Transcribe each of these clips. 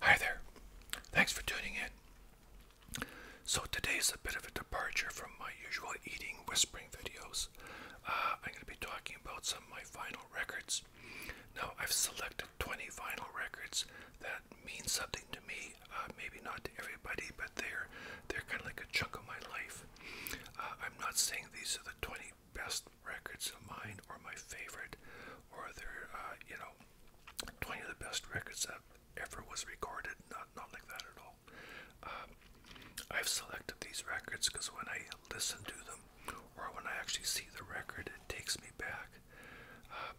Hi there. Thanks for tuning in. So today's a bit of a departure from my usual eating whispering videos. Uh, I'm going to be talking about some of my vinyl records. Now I've selected 20 vinyl records that mean something to me. Uh, maybe not to everybody, but they're they're kind of like a chunk of my life. Uh, I'm not saying these are the 20 best best records of mine or my favorite or they're uh, you know 20 of the best records that ever was recorded not not like that at all um, I've selected these records because when I listen to them or when I actually see the record it takes me back uh,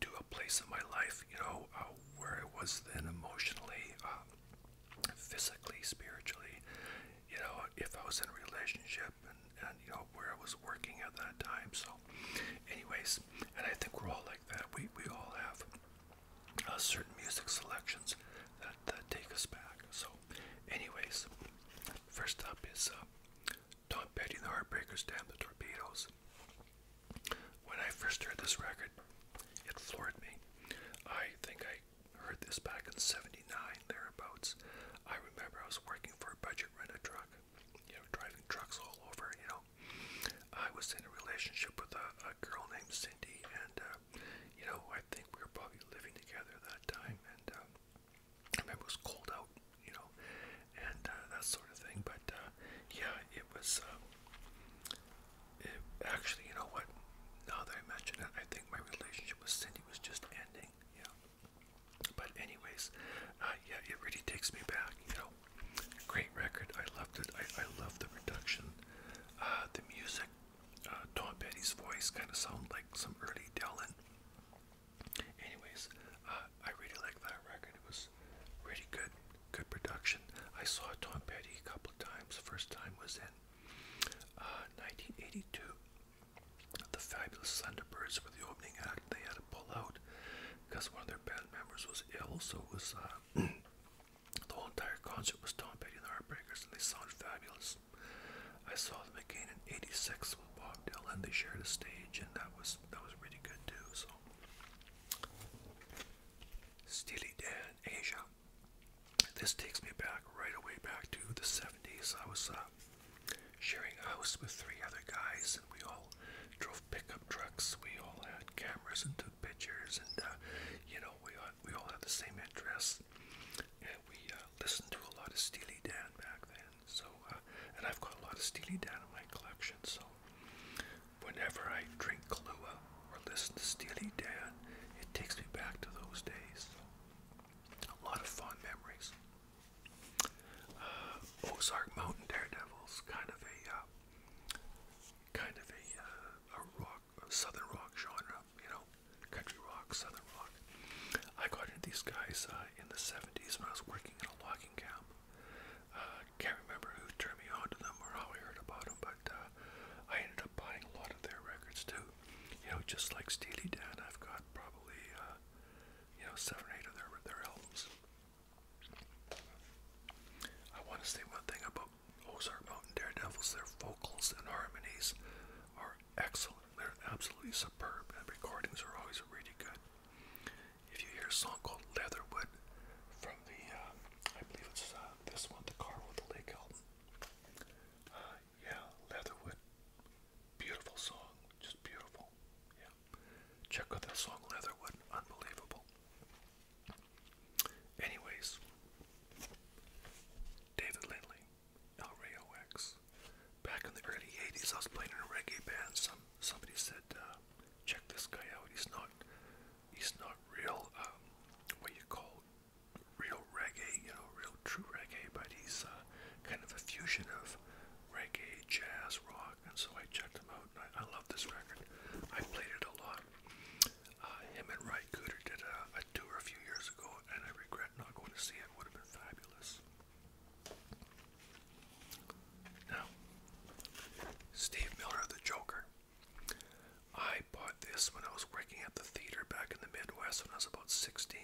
to a place in my life you know uh, where I was then emotionally um, physically spiritually you know if I was in a relationship and and you know where I was working at that time. So, anyways, and I think we're all like that. We we all have uh, certain music selections that, that take us back. So, anyways, first up is uh, Tom Petty and the Heartbreakers, Damn the Torpedoes. When I first heard this record, it floored me. I think I heard this back in '79 thereabouts. I remember I was working for a budget rent a truck. You know, driving trucks all over, you know. I was in a relationship with a, a girl named Cindy, and, uh, you know, I think we were probably living together that time, and uh, I remember it was cold out, you know, and uh, that sort of thing. But, uh, yeah, it was, um, it, actually, you know what, now that I mention it, I think my relationship with Cindy was just ending, yeah. But anyways, uh, yeah, it really takes me back. You know, great record. I loved it. I I love the production, uh, the music. Uh, Tom Petty's voice kind of sounded like some early Dylan. Anyways, uh, I really like that record. It was really good, good production. I saw Tom Petty a couple of times. The first time was in uh, 1982. The Fabulous Thunderbirds were the opening act. They had to pull out because one of their band members was ill, so it was uh, the whole entire concert was Tom Petty and the Heartbreakers, and they sounded fabulous. I saw them again in '86 with Bob Dylan. They shared a stage, and that was that was really good too. So, Steely Dan, Asia. This takes me back right away back to the '70s. I was. Uh, sharing a house with three other guys, and we all drove pickup trucks. We all had cameras and took pictures, and uh, you know, we all, we all had the same interests, and we uh, listened to a lot of Steely Dan back then. So, uh, and I've got a lot of Steely Dan in my collection. So, whenever I drink Kahlua or listen to Steely Dan, it takes me back to those days. So a lot of fond memories. Uh, Ozark Mountain Daredevils, kind of a uh, kind of a, uh, a rock, a southern rock genre, you know, country rock, southern rock. I got into these guys uh, in the '70s when I was working in a logging camp. Uh, can't remember who turned me on to them or how I heard about them, but uh, I ended up buying a lot of their records too you know, just like Steely Dan, I've got probably, uh, you know, seven or eight of their, their albums. I want to say one thing about Ozark Mountain Daredevils. Their vocals and harmonies are excellent. They're absolutely superb, and recordings are always really good. If you hear a song called Leatherwood from the, uh, I believe it's uh, this one, the Car with the Lake album, yeah, Leatherwood. Beautiful song, just beautiful. Yeah. Check out that song Leatherwood, unbelievable. Anyways, David Lindley, El Back in the early 80s, I was playing in a reggae band. Some somebody said, uh, check this guy out. He's not he's not real um, what you call real reggae, you know, real true reggae, but he's uh, kind of a fusion of reggae, jazz, rock, and so I checked him out, and I, I love this record. I played it a lot. Uh, him and Ry Cooter did a, a tour a few years ago, and I regret not going to see it. It would have been fabulous. Now, Steve Miller, the Joker. I bought this when I was working at the theater back in the Midwest when I was about 16,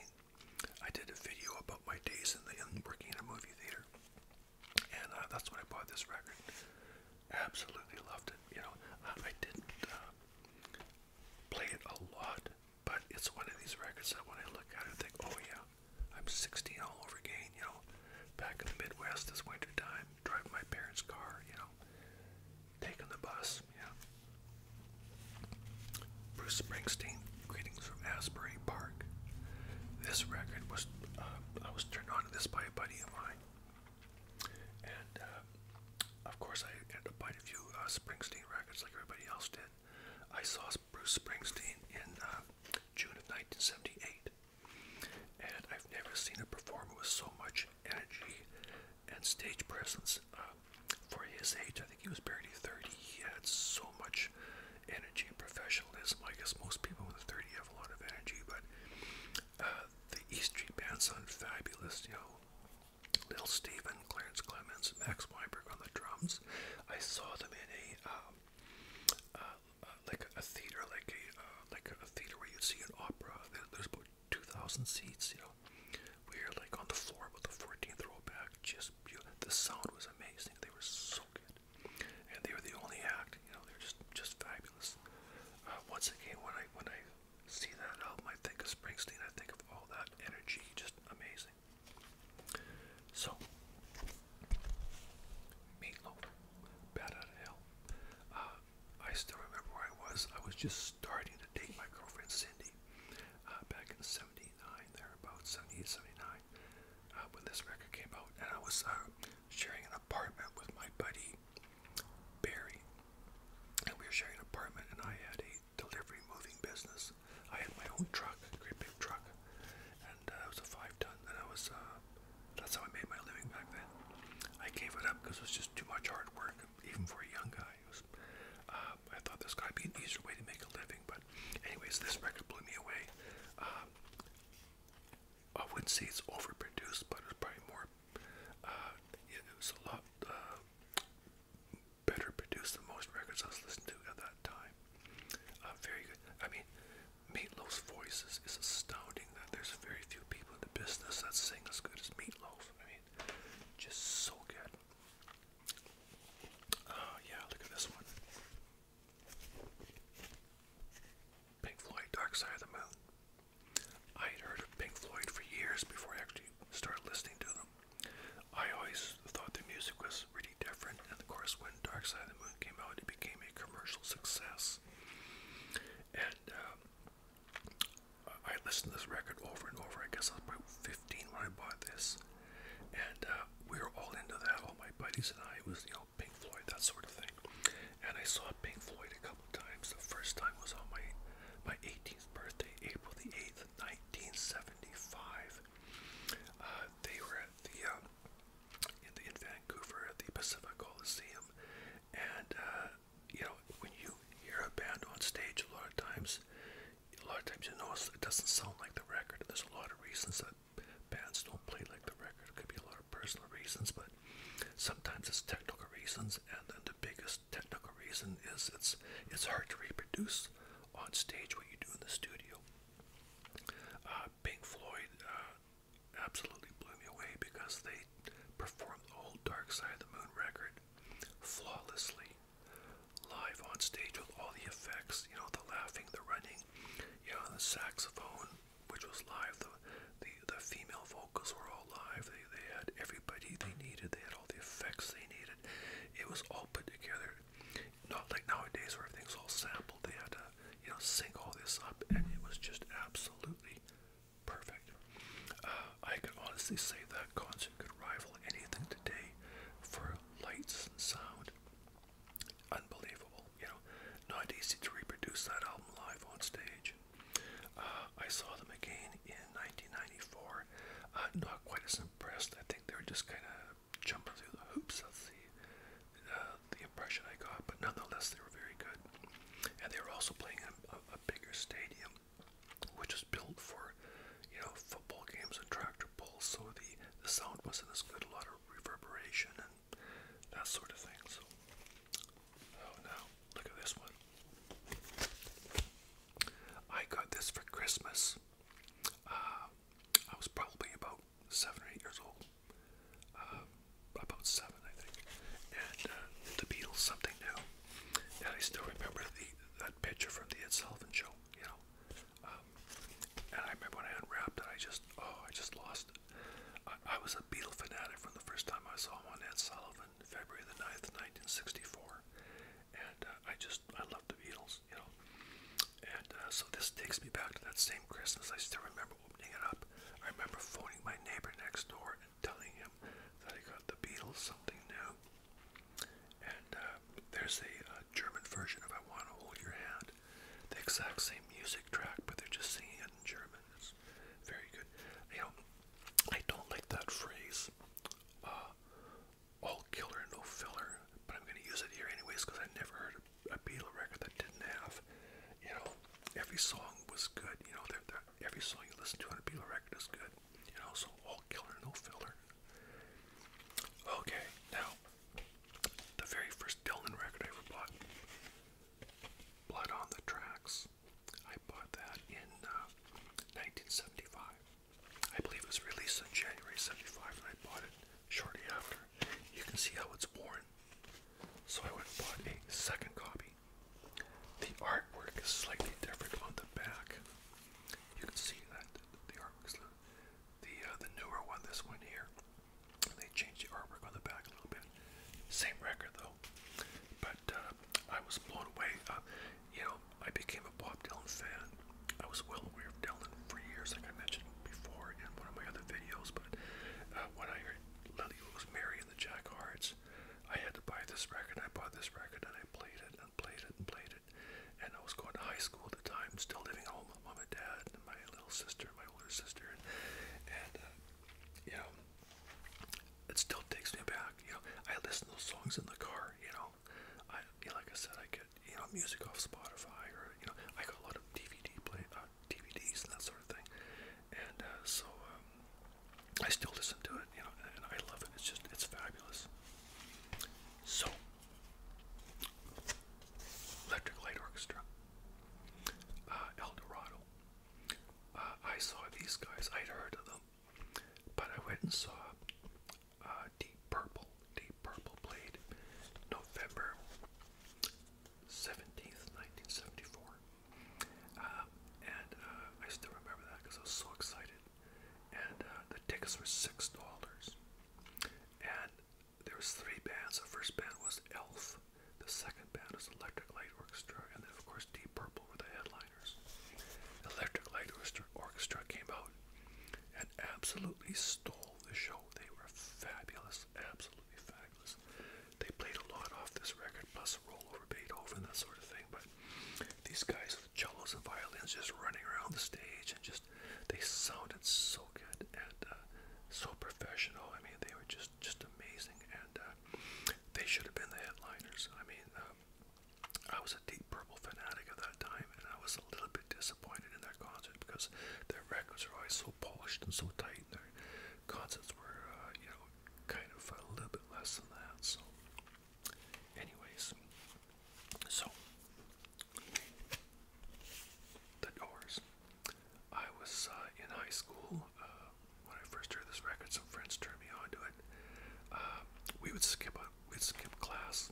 I did a video about my days in the in working in a movie theater, and uh, that's when I bought this record. Absolutely loved it. You know, I, uh, I didn't uh, play it a lot, but it's one of these records that when I look at it, I think, oh yeah, I'm 16 all over again. You know, back in the Midwest this winter time, driving my parents' car. You know, taking the bus, yeah. Bruce Springsteen, Greetings from Asbury Park. This record was, uh, I was turned on to this by a buddy of mine. And, uh, of course, I ended up buying a few uh, Springsteen records like everybody else did. I saw Bruce Springsteen in uh, June of 1978. And I've never seen a perform with so much much energy and stage presence uh, for his age. I think he was barely 30. He had so much energy and professionalism. I guess most people in the 30 have a lot of energy, but uh, the East Street Band sounded fabulous. You know, Little Steven, Clarence Clemens, Max Weinberg on the drums. I saw them in a um, uh, uh, like a theater, like a uh, like a theater where you see an opera. There's about 2,000 seats, you know. We were like on the floor with the 14th row back, just beautiful. The sound was amazing. They were so good. And they were the only act, you know, they're just just fabulous. Uh, once again, when I when I see that album, I think of Springsteen. I think of all that energy, just amazing. So, Meatloaf, Bad Out of Hell. Uh, I still remember where I was. I was just starting to date my girlfriend Cindy uh, back in '79, there about '78, '79, uh, when this record came out, and I was uh, sharing an apartment with my buddy Barry, and we were sharing an apartment, and I had a delivery moving business. I had my own truck, a great big truck, and uh, it was a five-ton, and I was. Uh, that's how I made my living back then. I gave it up because it was just too much hard work, even for a young guy. It songs. Uh, um, I thought there's got to be an easier way to make a living, but anyways, this record blew me away. Um, I wouldn't say it's overproduced, but it's probably more. Uh, it, it was a lot uh, better produced than most records I was listening to at that time. Uh, very good. I mean, Meatloaf's voice is, is astounding. That there's very few people in the business that sing as good as Meatloaf. I mean, just so good. Oh, yeah, look at this one. Pink Floyd, Dark Side of the Moon. I had heard of Pink Floyd for years before I actually started listening to them. I always thought their music was really different, and of course, when Dark Side of the Moon came out, it became a commercial success. And um, I listened to this record over and over. I guess I was about 15 when I bought this, and uh, we were all into that. All my buddies and I it was, you know, Pink Floyd, that sort of thing. And I saw Pink Floyd a couple times. The first time was on my my 18th birthday, April the 8th, 1975. Uh, they were at the um, in, the, in Vancouver at the Pacific Coliseum, and uh, you know, when you hear a band on stage, a lot of times, a lot of times you notice it doesn't sound like the record. And there's a lot of reasons that bands don't play like the record. It could be a lot of personal reasons, but sometimes it's technical reasons. And then the biggest technical reason is it's it's hard to reproduce on stage what you do in the studio. Uh, Pink Floyd uh, absolutely blew me away because they Perform performed the old Dark Side of the Moon record flawlessly, live on stage with all the effects, you know, the laughing, the running, you know, the saxophone, which was live, the the, the female vocals were all live, they, they had everybody they needed, they had all the effects they needed. It was all put together. Not like nowadays where everything's all sampled. They had to, you know, sync all this up and it was just absolutely Perfect. Uh, I can honestly say that concert could rival anything today for lights and sound. Unbelievable, you know. Not easy to reproduce that album live on stage. Uh, I saw them again in 1994. Uh, not quite as impressed. I think they were just kind of jumping through the hoops. That's the uh, the impression I got. But nonetheless, they were very good, and they were also playing a, a, a bigger stadium, which is built for, you know, football games and tractor pulls, so the, the sound wasn't as good, a lot of reverberation and that sort of thing. So, oh no, look at this one. I got this for Christmas. Uh, I was probably about seven or eight years old. Uh, about seven, I think. And uh, the Beatles, something new. And I still remember the that picture from the Ed Sullivan show, you know. Um, and I remember when I unwrapped it, I just, oh, I just lost it. I, I was a Beatle fanatic from the first time I saw him on Ed Sullivan, February the 9th, 1964. And uh, I just, I love the Beatles, you know. And uh, so this takes me back to that same Christmas. I still remember opening it up. I remember phoning my neighbor next door telling him that I got the Beatles something new. And uh, there's a uh, German version of I Want to Hold Your Hand. The exact same music track, but they're just singing it in German. It's very good. You know, I don't like that phrase, uh, all killer, no filler, but I'm going to use it here anyways because I never heard a, Beatles record that didn't have, you know, every song was good. You know, they're, they're, every song you listen to on a Beatle record is good. And also all killer, no filler. Okay, now the very first Dylan record I ever bought, Blood on the Tracks. I bought that in uh, 1975. I believe it was released in January 75 and I bought it shortly after. You can see how it's worn. So I went and bought a second copy. The artwork is slightly different on the back. You can see that the artwork the uh, the newer one. This one here, they changed the artwork on the back a little bit. Same record though. But uh, I was blown away. Uh, you know, I became a Bob Dylan fan. I was well aware of Dylan for years, like I mentioned before in one of my other videos. But when I Lily Rosemary and the Jack Hearts. I had to buy this record. I bought this record and I played it and played it and played it. And I was going to high school at the time, still living at home with mom and dad and my little sister, my older sister. And, and uh, you know, it still takes me back. You know, I listen to those songs in the car. You know, I you know, like I said, I get you know music off Spotify or you know, I got a lot of DVD play uh, uh, DVDs and that sort of thing. And uh, so um, I still listen to it, you know, and I love it. It's just, it's fabulous. So, Electric Light Orchestra, uh, El Dorado. Uh, I saw these guys, I'd heard of them, but I went and saw uh, Deep Purple. Deep Purple played November 17th, 1974. Uh, and uh, I still remember that because I was so excited. And uh, the tickets were six dollars. And there was three bands. The first band was Elf. The second band was Electric Light Orchestra, and then of course Deep Purple were the headliners. Electric Light Orchestra came out and absolutely stole the show. They were fabulous, absolutely fabulous they played a lot off this record, plus a rollover Beethoven, that sort of thing. But these guys with cellos and violins just running around the stage and just they sounded so good and uh, so professional. I mean, they were just just amazing, and uh, they should have been the headliners. I mean. Um, I was a Deep Purple fanatic at that time, and I was a little bit disappointed in their concert because their records are always so polished and so tight, and their concerts were, uh, you know, kind of a little bit less than that. So, anyways, so the Doors. I was uh, in high school uh, when I first heard this record. Some friends turned me on it. we would skip a, we'd skip class,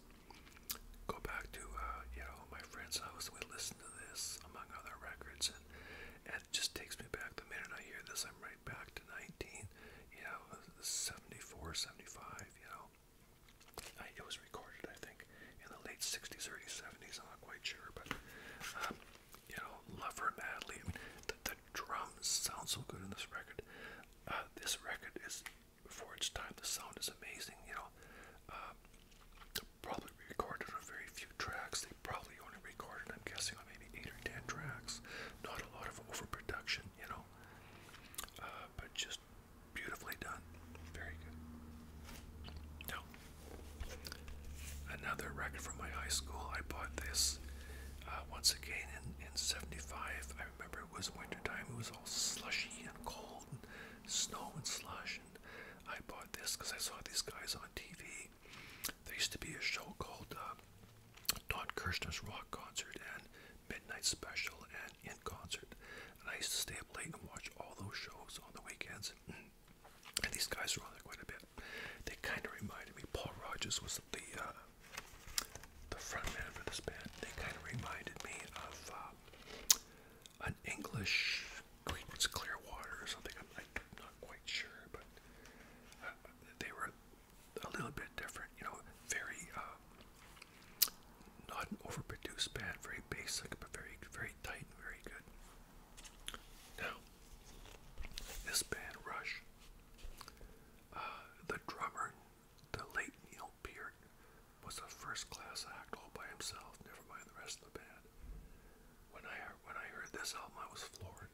go back to you know my friend's house. We'd listen to this among other records, and it just takes me back. The minute I hear this, I'm right back to 19, you know, 74, 75, you know. it was recorded, I think, in the late 60s, early 70s. I'm not quite sure, but, um, you know, Lover Madly. The, the drums sound so good in this record. Uh, this record is, for its time, the sound is amazing, you know. Um, probably recorded a very few tracks. They probably only recorded, I'm guessing, on maybe eight or ten tracks. Not a lot of overproduction, you know, uh, but just beautifully done. Very good. Now, another record from my high school. I bought this uh, once again in, in 75. I remember it was wintertime. It was all slushy and cold and snow and slush. And I bought this because I saw these guys on on TV. There used to be a show called uh, Don Kirshner's Rock Concert and Midnight Special and In Concert. And I used to stay up late and watch all those shows on the weekends. And these guys were on there quite a bit. They kind of reminded me, Paul Rogers was the, uh, the front man for this band. They kind of reminded me of uh, an English Creedence Clearwater or something. I'm, not quite sure, but uh, they were a little bit different. You know, very um, not an overproduced band, very basic, but very very tight and very good. Now, this band Rush, uh, the drummer, the late Neil Peart, was a first-class act all by himself. Never mind the rest of the band. When I heard, when I heard this album, I was floored.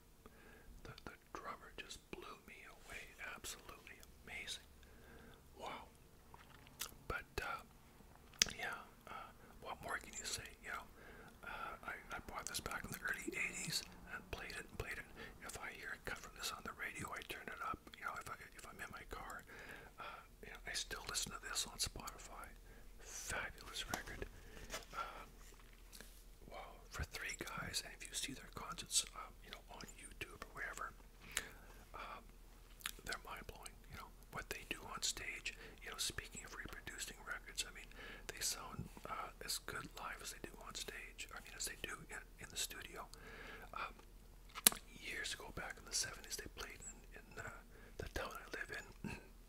The the drummer just blew me away. Absolutely amazing. Wow. But uh, yeah, uh, what more can you say? You uh, I, I bought this back in the early '80s and played it played it. If I hear it cut from this on the radio, I turn it up. You know, if I if I'm in my car, you know, I still listen to this on Spotify. Fabulous record. Uh, wow, for three guys, and if you see their concerts, um, you know, on YouTube or wherever, um, they're mind blowing. You know what they do on stage. You know, speaking of reproducing records, I mean, they sound uh, as good live as they do on stage. I mean, as they do in, in the studio. Um, years ago, back in the '70s, they played in, in uh, uh, the town I live in,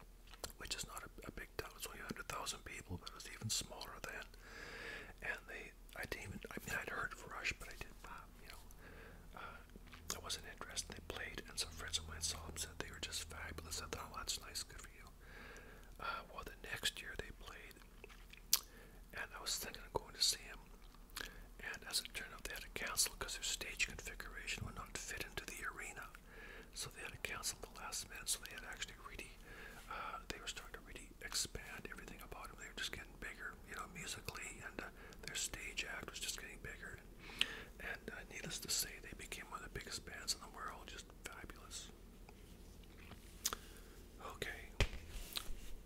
which is not a, a big town, it's only 100,000 people, but it was even smaller then. And they, I didn't even, I mean, I'd heard of Rush, but I didn't, uh, you know, uh, I wasn't interested. They played, and some friends of mine saw them, said they were just fabulous. I thought, oh, that's nice, good for you. Uh, well, the next year they played, and I was thinking of going to see him. And as it turned out, they had to cancel because their stage configuration would not fit into the arena. So they had to cancel the last minute. So they had actually really, uh, they were starting to really expand everything about them. They were just getting bigger, you know, musically, and uh, their stage act was just getting bigger. And uh, needless to say, they became one of the biggest bands in the world. Just fabulous. Okay.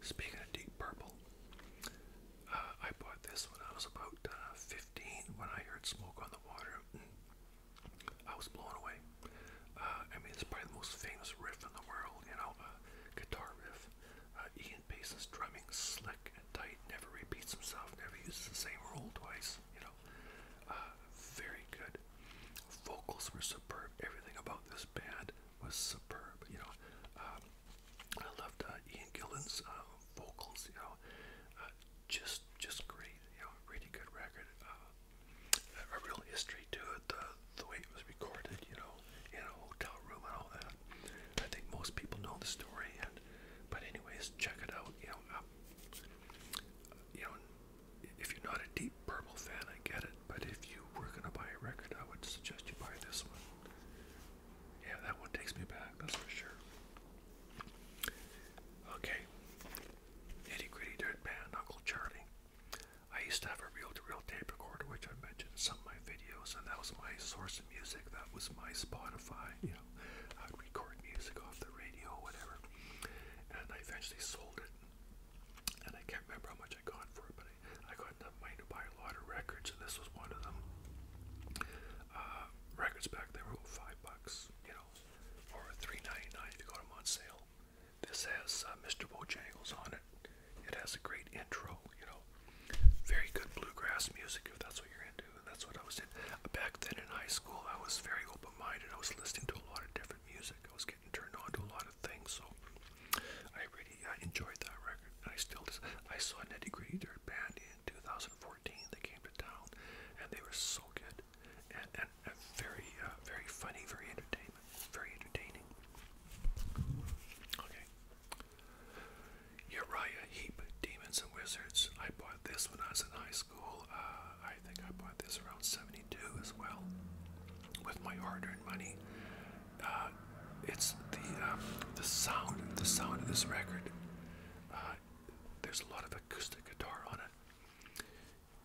Speaking of Deep Purple, I bought this when I was about uh, 15 when I heard Smoke on the Water. Mm. I was blown away. Uh, I mean, it's probably the most famous riff in the world, you know, guitar riff. Uh, Ian Pace's drumming, slick and tight, never repeats himself, never uses the same role twice, you know. Uh, very good. Vocals were superb. Everything about this band was superb, you know. Um, I loved uh, Ian Gillan's uh, vocals, you know, uh, just just great, you know, really good record. Uh, a real history to it, the, the way it was recorded, you know, in a hotel room and all that. I think most people know the story, and but anyways, check it out. You know, um, you know, if you're not a Deep Purple fan, I get it, but if you were gonna buy a record, I would suggest you buy this one. Yeah, that one takes me back, that's for sure. Okay. Nitty gritty dirt band, Uncle Charlie. I used to have a reel-to-reel -reel tape recorder, which I mentioned in some of my videos, and that was my source of music. That was my Spotify. You know, I'd record music off the radio, whatever. And I eventually sold it, and I can't remember how much I got for it, company. I got enough money to buy a lot of records, and this was one of them. Uh, records back then were five bucks, you know, or three ninety nine if you got them on sale. This has uh, Mr. Bojangles on it. It has a great intro, you know, very good bluegrass music if that's what you're into, and that's what I was in. Uh, back then in high school, I was very open-minded. I was listening to a lot of different music. I was getting turned on to a lot of things, so I I enjoyed that record, and I still just, I saw Nitty Gritty Dirt band, in 2014. They came to town, and they were so good, and very uh, very funny, very entertaining, very entertaining. Okay. Uriah Heep, Demons and Wizards. I bought this when I was in high school. Uh, I think I bought this around '72 as well, with my hard-earned money. Uh, it's the um, the sound the sound of this record. Uh, there's a lot of acoustic guitar on it.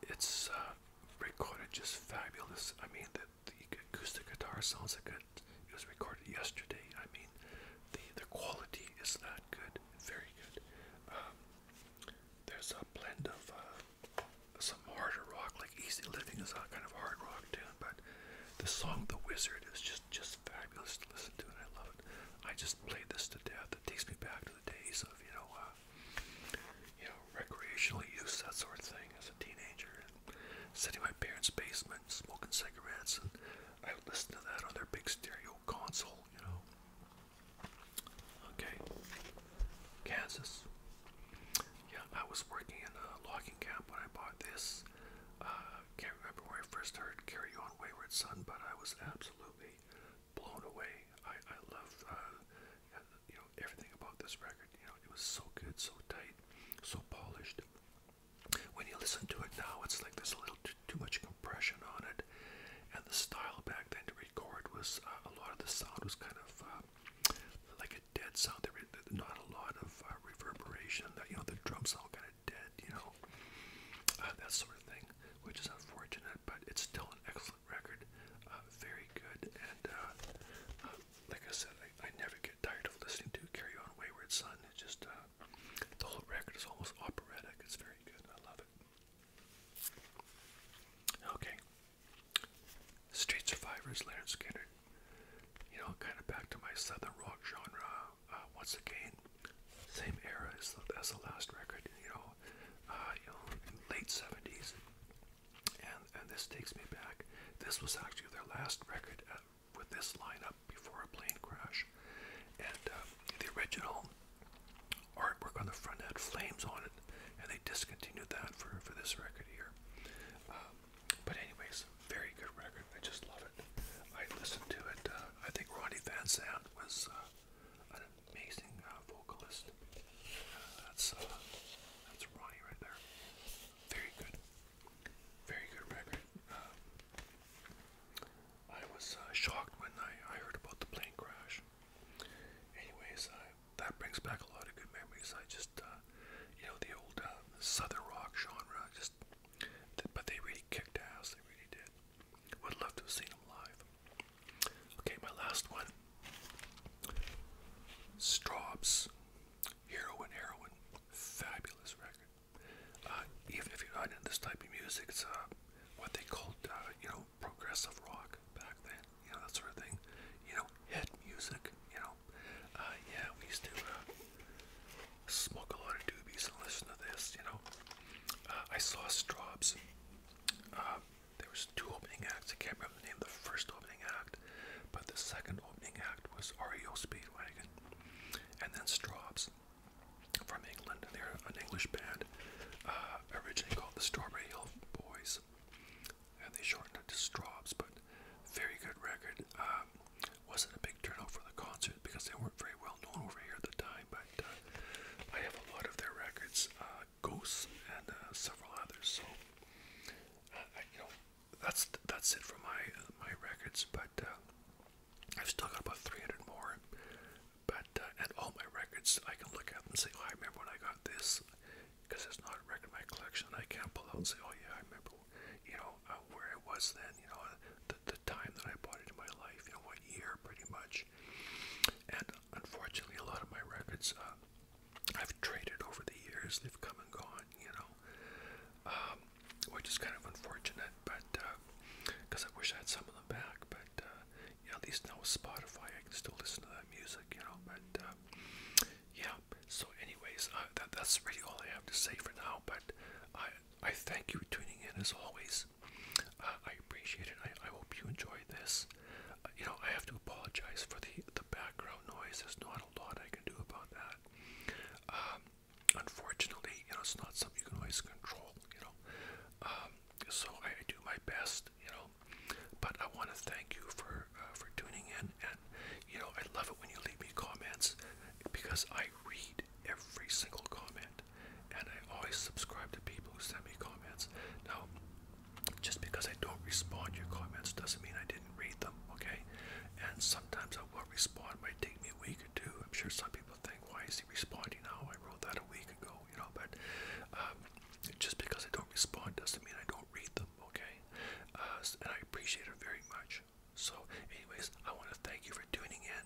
It's uh, recorded just fabulous. I mean, the, the acoustic guitar sounds like it, was recorded yesterday. I mean, the the quality is not good, very good. Um, there's a blend of some harder rock, like Easy Living is a kind of hard rock too but the song The Wizard is just just fabulous to listen to and I love it. I just play this to death. It takes me back to the days of, you know, uh, you know, recreational use, that sort of thing as a teenager. And sitting in my parents' basement, smoking cigarettes and I would listen to that on their big stereo console, you know. Okay. Kansas. Yeah, I was working in a logging camp when I bought this. Uh, can't remember where I first heard Carry On Wayward Son, but I was absolutely blown away. I, I love, uh, you know, everything about this record. You know, it was so good, so tight, so polished. When you listen to it now, it's like there's a little too, much compression on it. And the style back then to record was uh, a lot of the sound was kind of uh, like a dead sound. There was not a lot of uh, reverberation. That you know, the drums all kind of dead. You know, uh, that sort of thing, which is unfortunate. But it's still an excellent record. Uh, very good. And uh, uh, like I said, I, I never get tired of listening to "Carry On, Wayward Son." It's just uh, the whole record is almost operatic. It's very good. I love it. Okay. Street Survivors, Leonard Skinner. You know, kind of back to my southern rock genre uh, once again. Same era as the, as the last record, you know, uh, you know, late '70s, and and this takes me back. This was actually their last record uh, with this lineup before a plane crash, and the original artwork on the front had flames on it, and they discontinued that for for this record here. Um, but anyways, very good record. I just love it. I listened to it. Uh, I think Ronnie Van Zant was uh, an amazing uh, vocalist. Uh, that's uh, that's Ronnie right there. Very good. Very good record. Uh, I was uh, shocked when I, I heard about the plane crash. Anyways, I that brings back a lot of good memories. I just, uh, you know, the old uh, southern rock genre, just, but they really kicked ass. They really did. Would love to have seen them live. Okay, my last one. Straub's Hero and Heroin, fabulous record. Uh, even if you're not into this type of music, it's uh, what they called, uh, you know, progressive rock back then. You know that sort of thing. You know, hit music, you know. Uh, yeah, we used to uh, smoke a lot of doobies and listen to this, you know. Uh, I saw Straub's. Uh, there was two opening acts. I can't remember the name of the first opening act, but the second opening act was REO Speedwagon, and then Straub's from England. They're an English band, uh, originally called the Strawberry Hill Boys and they shortened it to Straws, But very good record. Um, wasn't a big turnout for the concert because they weren't very well known over here at the time. But uh, I have a lot of their records, uh, Ghosts and uh, several others. So you know, that's that's it for my my records. But I've still got about 300 more. But at all my records, I can look at them and say, oh, I remember when I got this because it's not a record in my collection. I can't pull out and say, oh yeah, I remember, you know, uh, where I was then, you know, the, the time that I bought it in my life, you know, what year pretty much. And unfortunately, a lot of my records uh, I've traded over the years. They've come and gone, you know, um, which is kind of unfortunate, but because uh, I wish I had some of them back. But uh, yeah, at least now with Spotify, I can still listen to that music, you know, but uh, yeah, so, anyways, uh, that that's really all I have to say for now. But I I thank you for tuning in as always. Uh, I appreciate it. I I hope you enjoyed this. Uh, you know, I have to apologize for the the background noise. There's not a lot I can do about that. Um, unfortunately, you know, it's not something you can always control. You know, um, so I do my best. You know, well. But I want to thank you for uh, for tuning in, and you know I love it when you leave me comments because I read every single comment, and I always subscribe to people who send me comments. Now, just because I don't respond to your comments doesn't mean I didn't read them, okay? And sometimes I will respond. It might take me a week or two. I'm sure some people think, why is he responding now? I wrote that a week ago, you know. But um, just because I don't respond doesn't mean I don't read them okay? Uh, and I appreciate it very much. So, anyways, I want to thank you for tuning in.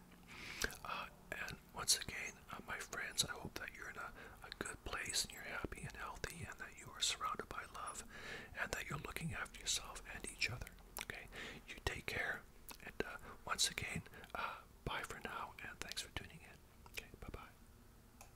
Uh, and once again, uh, my friends, I hope that you're in a, a good place and you're happy and healthy and that you are surrounded by love and that you're looking after yourself and each other. Okay? You take care. And once again, bye for now and thanks for tuning in. Okay, bye bye.